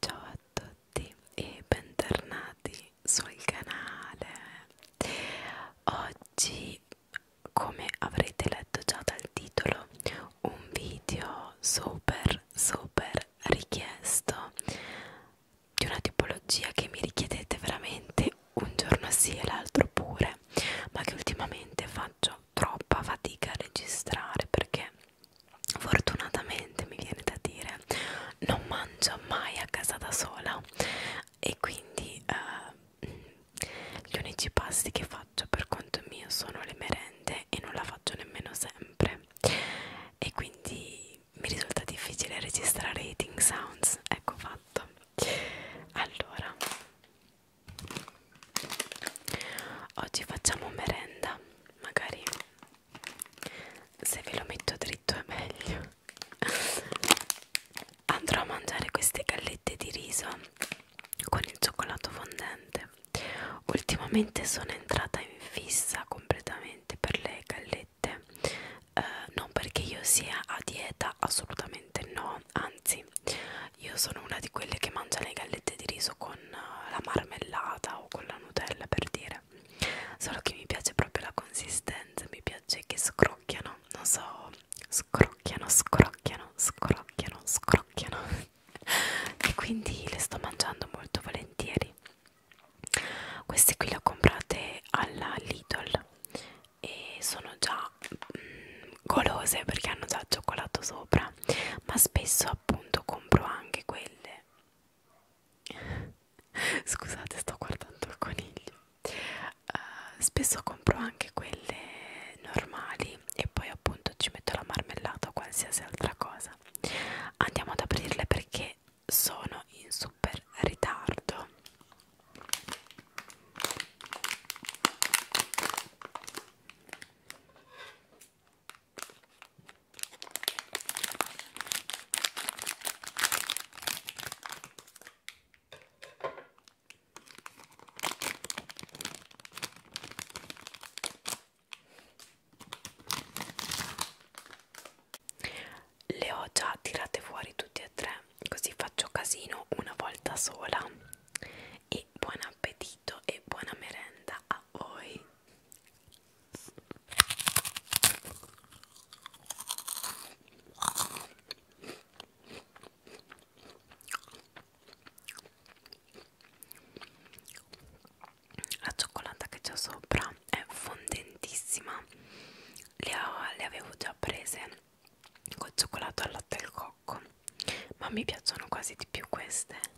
Ciao a tutti e bentornati sul canale. Oggi, come avrete letto già dal titolo, un video super super richiesto di una tipologia che mi richiedete veramente un giorno sì e l'altro pure, ma che ultimamente faccio troppa fatica a registrare perché fortunatamente mi viene da dire non mangio mai a casa da sola e quindi eh, gli unici pasti che faccio per conto mio sono le merende e non la faccio nemmeno sempre e quindi mi risulta difficile registrare eating sounds ecco fatto allora oggi facciamo merenda magari se ve lo metto dritto è meglio andrò a mangiare queste gallette di riso con il cioccolato fondente ultimamente sono entrata in fissa completamente per le gallette eh, non perché io sia a dieta assolutamente no anzi io sono una di quelle che mangia le gallette di riso con con eh, la marmellata o con la Nutella per dire solo che mi piace proprio la consistenza mi piace che scrocchiano non so scrocchiano scrocchiano scrocchiano scrocchiano e quindi le sto mangiando molto volentieri queste qui le ho comprate alla Lidl e sono già mm, golose perché hanno già il cioccolato sopra ma spesso appunto compro anche quelle scusate sto guardando il coniglio uh, spesso compro anche quelle normali e poi appunto ci metto la marmellata o qualsiasi altra cosa andiamo ad aprirle perché sono in super ritardo le ho già tirate fuori tutte e tre, così faccio casino una volta sola e buon appetito e buona merenda a voi la cioccolata che c'è sopra è fondentissima le, le avevo già prese col cioccolato al latte al cocco ma mi piacciono quasi di più queste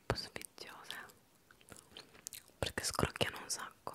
troppo sfiziose perché scrocchiano un sacco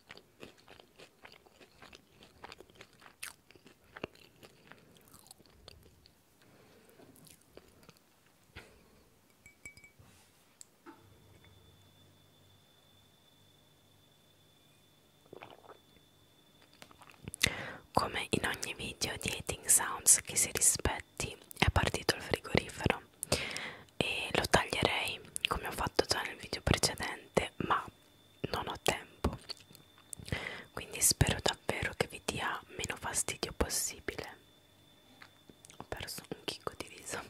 Come in ogni video di Eating Sounds che si rispetti è partito il frigorifero e lo taglierei come ho fatto già nel video precedente ma non ho tempo quindi spero davvero che vi dia meno fastidio possibile ho perso un chicco di riso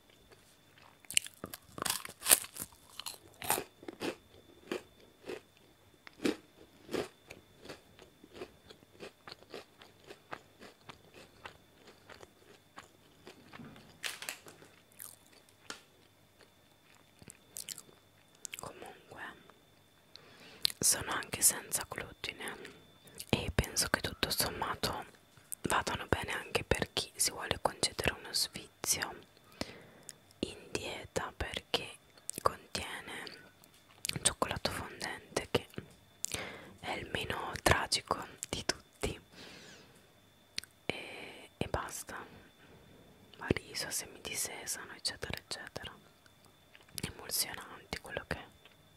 Comunque sono anche senza glutine e penso che tutto sommato vadano bene anche per chi si vuole concedere uno sfizio in dieta perché contiene un cioccolato fondente che è il meno tragico di tutti e, e basta riso, semi di sesamo eccetera eccetera emulsionanti quello che è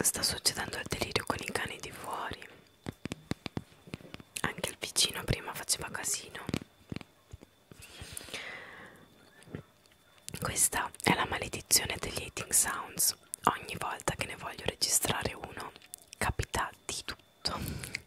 Sta succedendo il delirio con i cani di fuori. Anche il vicino prima faceva casino. Questa è la maledizione degli eating sounds. Ogni volta che ne voglio registrare uno, capita di tutto.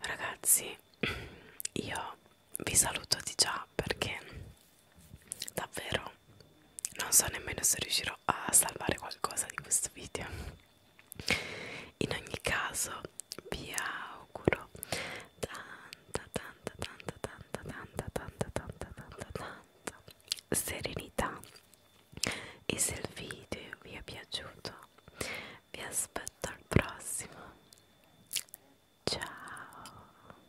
Ragazzi, io vi saluto di già perché davvero non so nemmeno se riuscirò a salvare qualcosa di questo video in ogni caso vi auguro tanta tanta tanta tanta tanta tanta tanta tanta tanta serenità e se il video vi è piaciuto vi aspetto al prossimo ciao